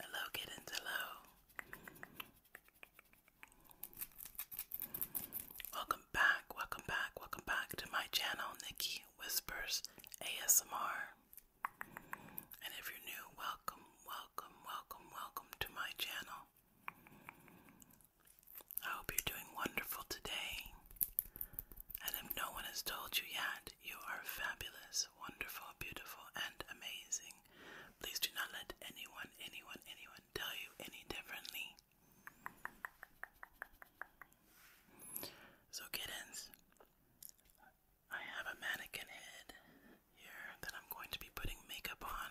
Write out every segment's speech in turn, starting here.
Hello, kittens. Hello. Welcome back, welcome back, welcome back to my channel, Nikki Whispers ASMR. And if you're new, welcome, welcome, welcome, welcome to my channel. I hope you're doing wonderful today. And if no one has told you yet, you are fabulous, wonderful, beautiful, and amazing. Please do not let anyone, anyone, anyone tell you any differently. So, kittens, I have a mannequin head here that I'm going to be putting makeup on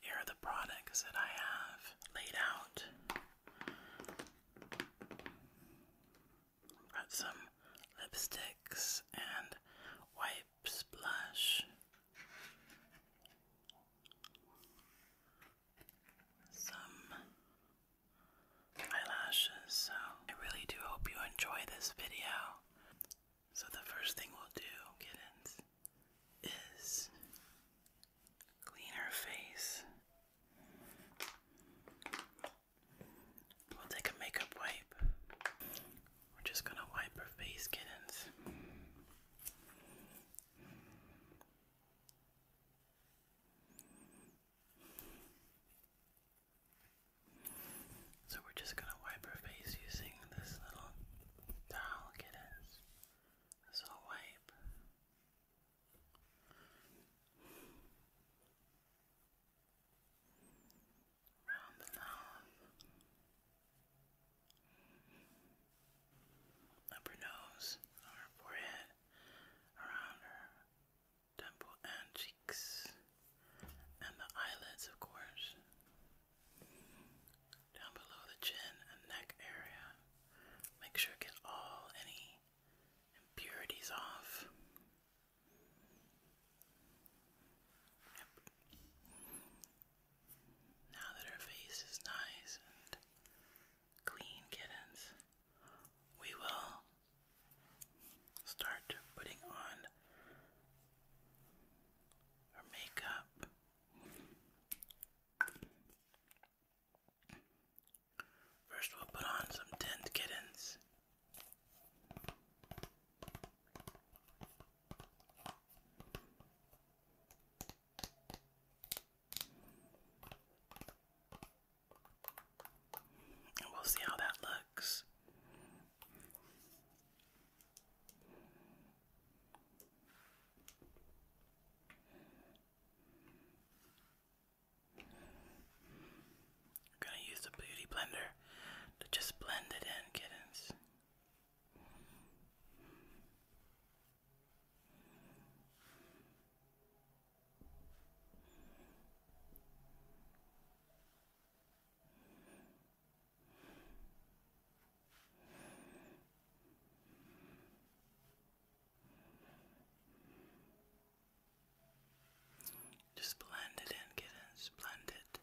here are the products that I have laid out. Got some lipsticks and wipes, blush, some eyelashes. So I really do hope you enjoy this video. So the first thing we'll do, kittens, is Clean her face. We'll take a makeup wipe. We're just gonna wipe her face, kittens. So we're just gonna wipe her face using this little towel, kittens. So wipe. Round the mouth, upper nose, her forehead, around her temple and cheeks, and the eyelids, of course down below the chin and neck area. Make sure get all any impurities off. Yep. Now that our face is nice and clean, kittens, we will start putting on our makeup. First, we'll put on some tinned kittens. And we'll see how that looks. I'm gonna use the beauty blender to just blend it in, kittens. Just blend it in, kittens. Blend it.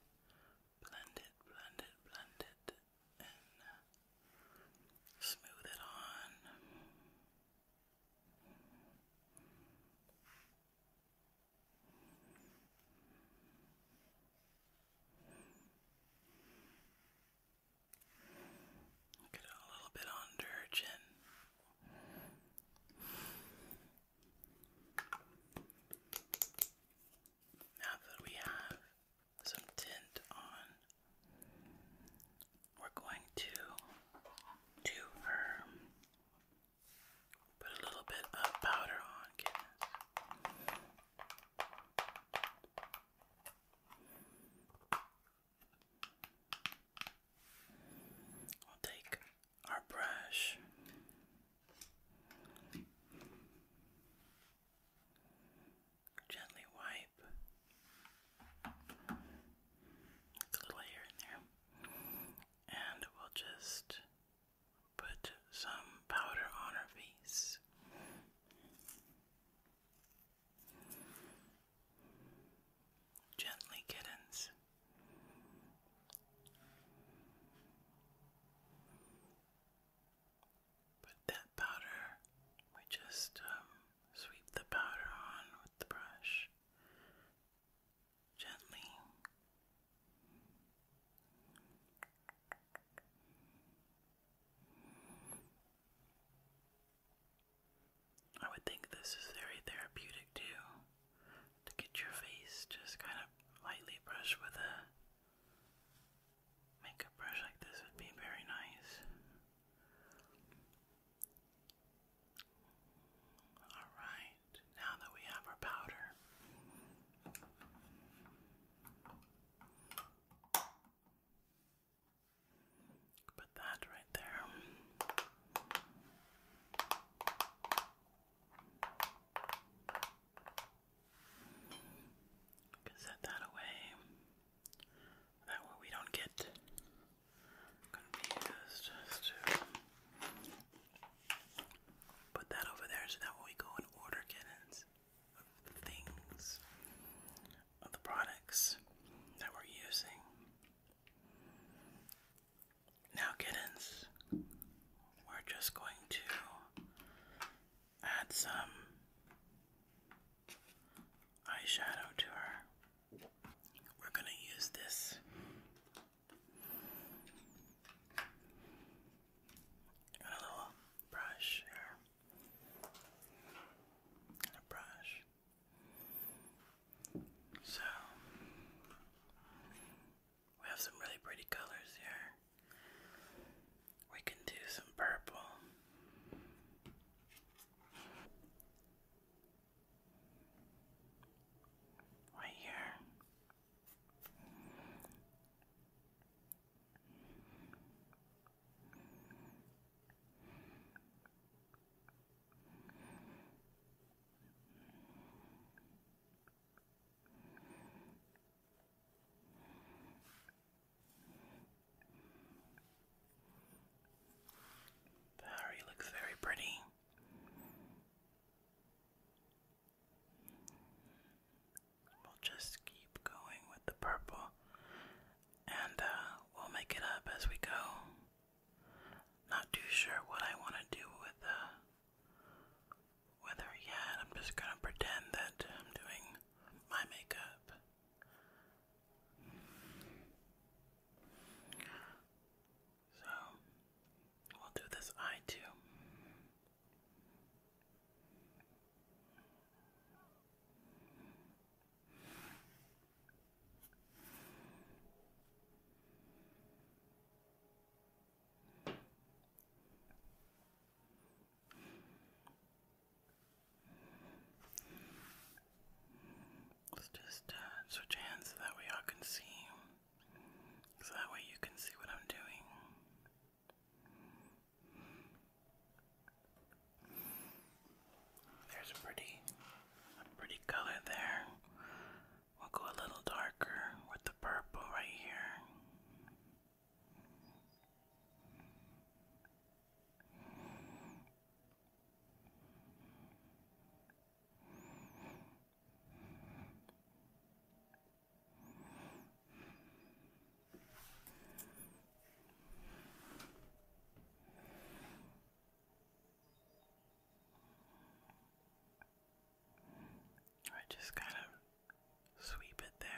Blend it, blend it, blend it, and uh, smooth it on. Get it a little bit under her chin. Now that we have some tint on, we're going to do her. Put a little bit of powder on, kids. We'll take our brush. Gently wipe a little here and there, and we'll just put some powder on her face. Gently, kittens. Put that powder, we just um, sweep the powder on with the brush. Gently, I would think this is very therapeutic too, to get your face just kind of lightly brushed with a makeup brush like this would be very nice. Alright, now that we have our powder, Put that right there. Can set that away. That way we don't get confused as Put that over there so that when we go and order kittens things, of the products that we're using. Now, kittens, we're just going to add some eyeshadow to her. We're going to use this Got a little um, brush here. And a brush. So we have some really pretty colors here. We can do some purple. Right here. Barry looks very pretty. We'll just keep going with the purple and uh, we'll make it up as we go. Not too sure what I want to do with uh, with her yet. I'm just gonna pretend that I'm doing my makeup. So we'll do this eye too. Let's just uh, switch hands so that we all can see. So that way you can see what I'm doing. There's a pretty pretty color there. We'll go a little darker with the purple right here. I just kind of sweep it there.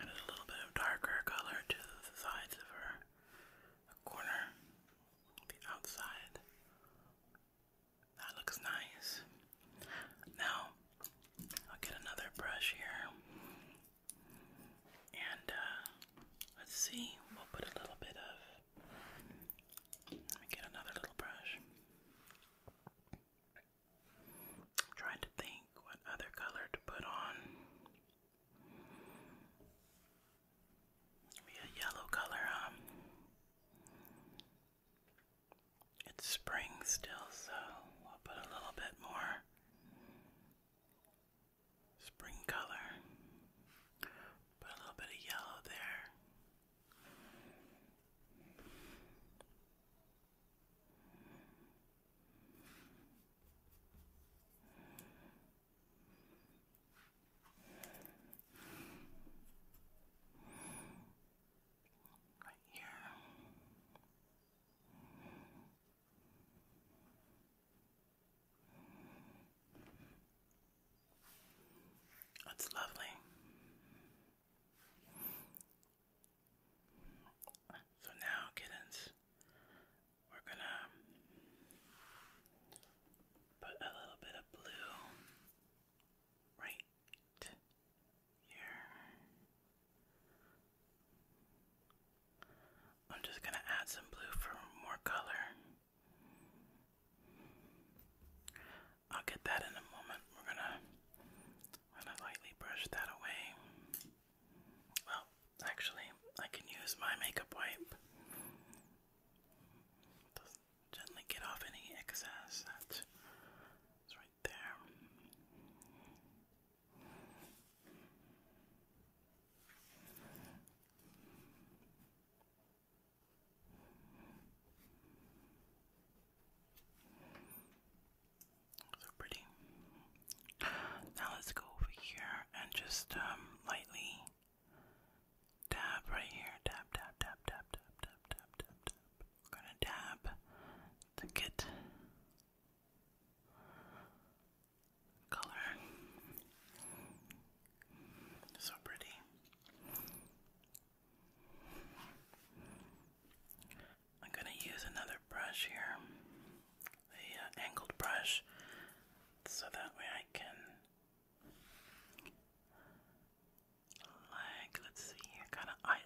And a little bit of darker color to the sides of her corner, the outside. That looks nice. Now, I'll get another brush here. And uh, let's see, we'll put a little bit of. Let me get another little brush. I'm trying to think what other color to put on. Be a yellow color, um. It's spring still, so we'll put a little bit more spring color. Put a little bit of yellow there. Right here. That's lovely. So now, kittens, we're gonna put a little bit of blue right here. I'm just gonna add some blue for more color. I'll get that in a moment. We're gonna, gonna lightly brush that away. Well, actually, I can use my makeup wipe gently get off any excess that's right there. So pretty. Now let's go over here and just um, lightly dab right here. Dab, dab, dab, dab, dab, dab, dab, dab, dab. I'm gonna dab to get color. So pretty. I'm going to use another brush here, the uh, angled brush, so that way I can like let's see kind of I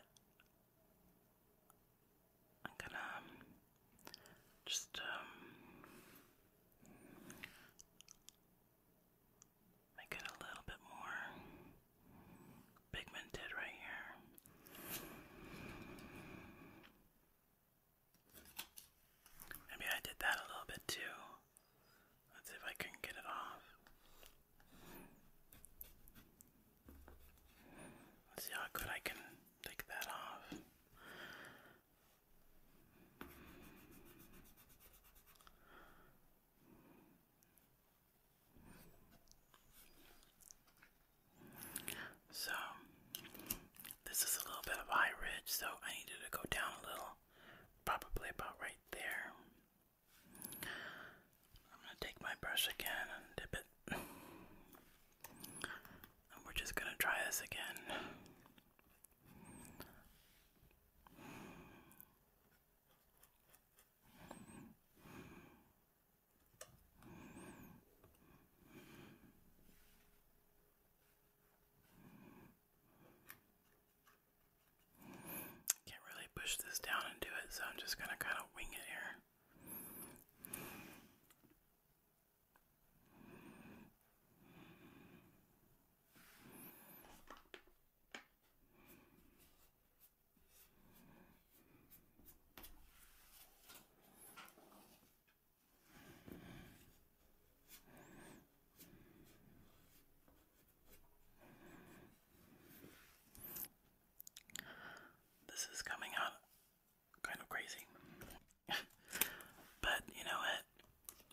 I'm gonna um, just um make it a little bit more Bigman did right here. Maybe I did that a little bit too. Let's see if I can get it off. Let's see how good I can take that off. So, this is a little bit of high ridge, so I needed to go down a little, probably about right there. I'm going to take my brush again and dip it. And we're just going to try this again. Can't really push this down and do it, so I'm just going to kind of wing it here. This is coming out kind of crazy. but you know what?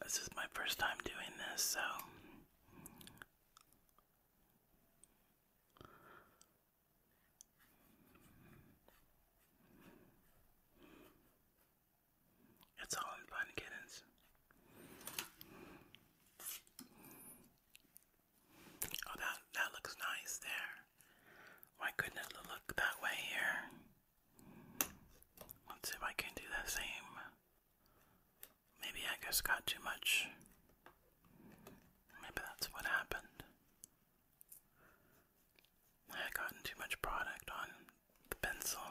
This is my first time doing this, so it's all by fun, kittens. Oh, that that looks nice there. Why couldn't it look that way here? Let's see if I can do the same. Maybe I just got too much. Maybe that's what happened. I had too much product on the pencil.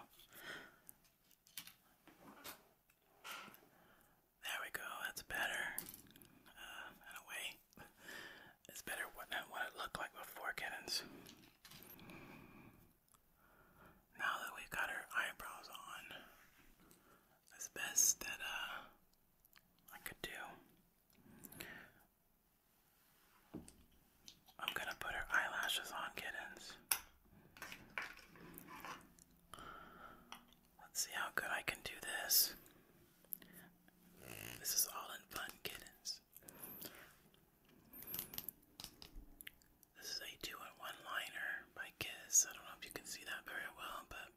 There we go, that's better. Uh, in a way, it's better what it looked like before, kittens. Now that we've got our eyebrows on, that's best that uh, I could do. I'm gonna put her eyelashes on, kittens. Let's see how good I can do this. This is all in fun, kittens. This is a two in one liner my kiss. I don't know if you can see that very well, but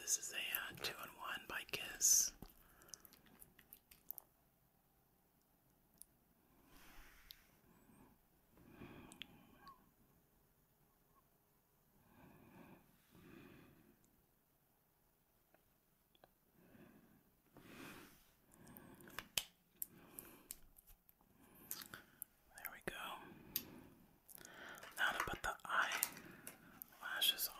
this is a uh, two and one by kiss. There we go. Now to put the eyelashes on.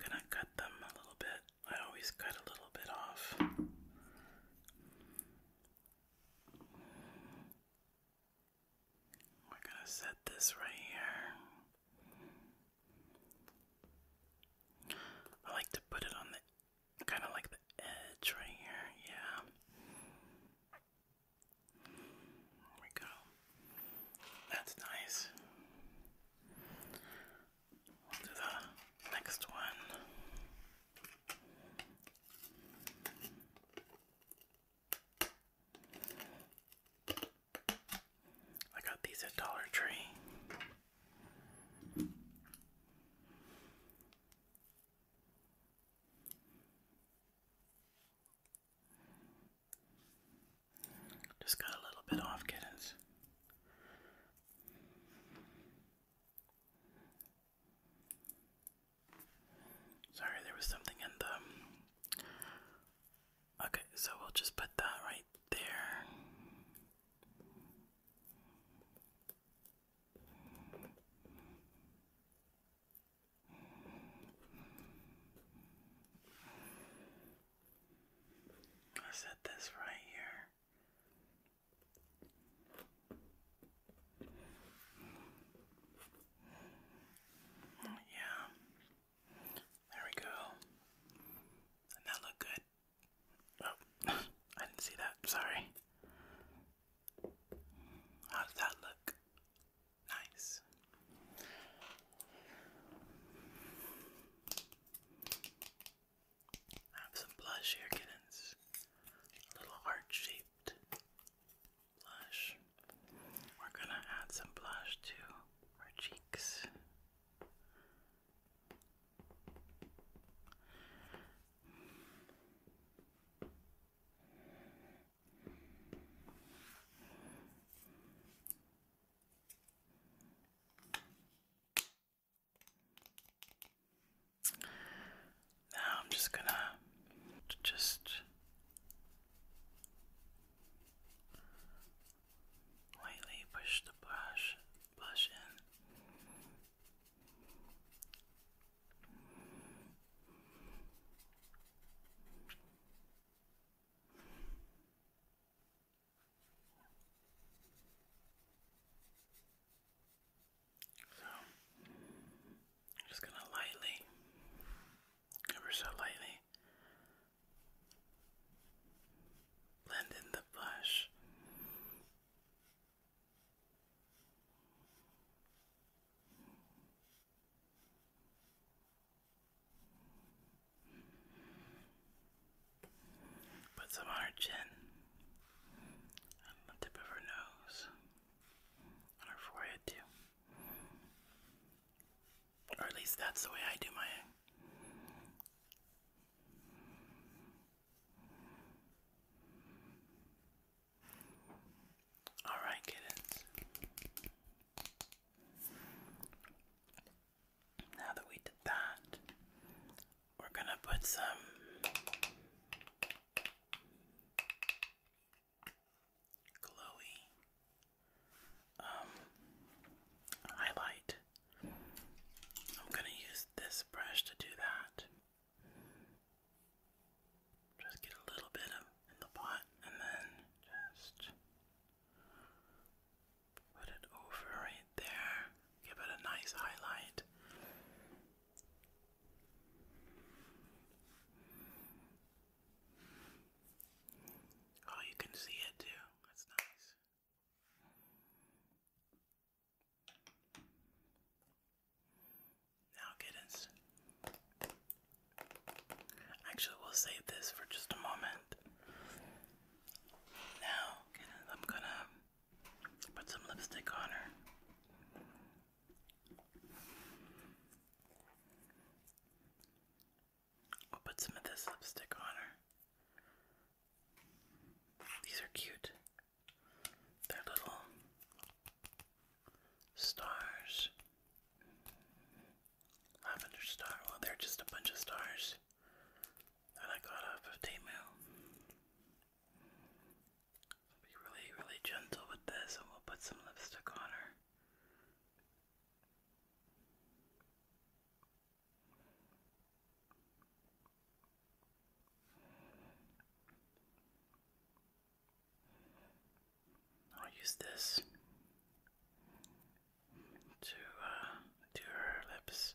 gonna cut them a little bit. I always cut a little bit off. We're going to set this right here. I like to put it on the kind of like the edge right here. Yeah. There we go. That's nice. do the next one. I got these at Dollar Tree. Just got a little bit off, kittens. Sorry, there was something in the. Okay, so we'll just put that right there. I set this right here. Yeah. There we go. that look good. Oh, I didn't see that. Sorry. How does that look? Nice have some blush here, kittens. little heart shaped blush. We're gonna add some blush to our cheeks. Now I'm just gonna just lightly push the brush brush in. So, just gonna lightly, ever so lightly, blend in the blush. Put some on her chin, the tip of her nose, on her forehead too. Or at least that's the way I do my. Alright, kittens. Now that we did that, we're going to put some glowy um, highlight. I'm going to use this brush to do that. Just get a little bit of in the pot and then just Put it over right there. Give it a nice highlight. Oh, you can see it too. That's nice. Now, kittens. Actually, we'll save this for just a moment. Now, kittens, I'm gonna Put some lipstick on her. We'll put some of this lipstick on her. These are cute. They're little stars. Lavender star. Well, they're just a bunch of stars that I got off of Temu. Be really, really gentle with this, and we'll put some lipstick on her. I'll use this to uh, do her lips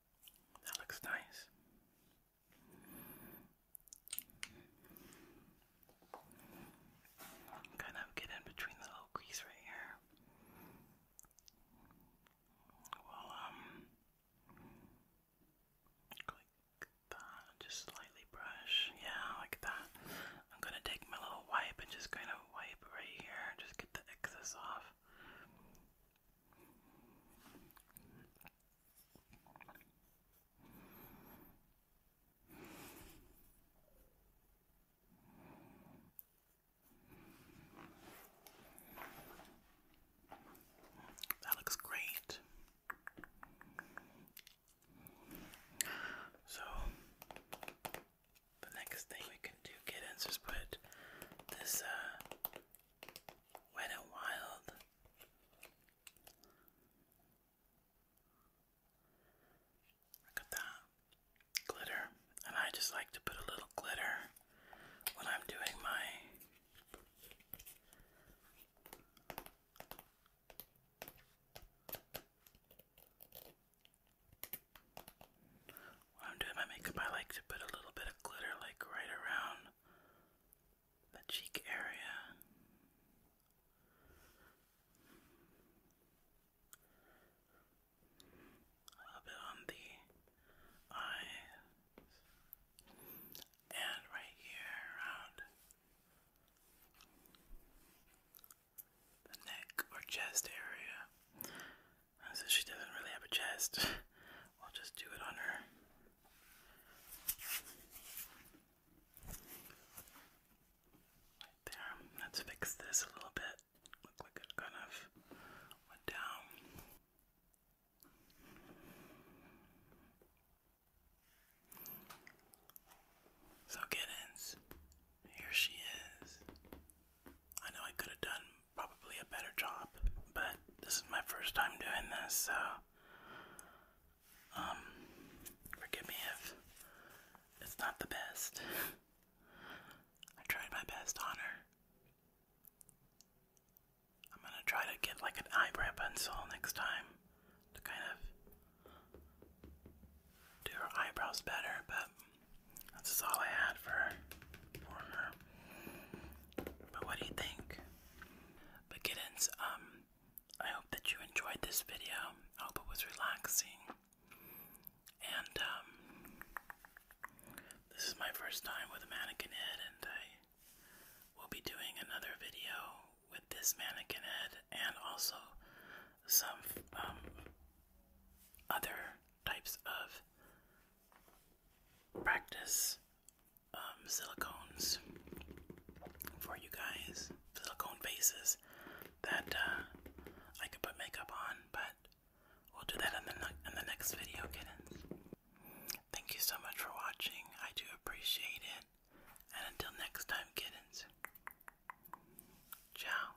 That looks nice. Kind of get in between the little crease right here. Well, um, just slightly brush. Yeah, like that. I'm gonna take my little wipe and just kind of wipe right here, just get the excess off. That looks great. So, the next thing we can to kittens was put this uh, Wet and Wild Look at that glitter, and I just like to put a little glitter when I'm doing my when I'm doing my makeup, I like to put a little bit of glitter like right around the cheek area. A bit on the eye and right here around the neck or chest area. So she doesn't really have a chest, I'll just do it on her. Right there. Let's fix this a little bit. Look like it kind of went down. So, kittens, here she is. I know I could have done probably a better job, but this is my first time doing this, so um, forgive me if it's not the best. I tried my best, Honor. I'm gonna try to get like an eyebrow pencil next time to kind of do your eyebrows better, but this is all I had for for her. But what do you think? But kittens, um, I hope that you enjoyed this video. I hope it was relaxing. And um this is my first time with a mannequin head and I will be doing another video with this mannequin head and also some um other types of practice um, silicones for you guys, silicone faces that uh, I could put makeup on, but we'll do that in the in the next video, kittens. Thank you so much for watching. I do appreciate it. And until next time, kittens. Ciao.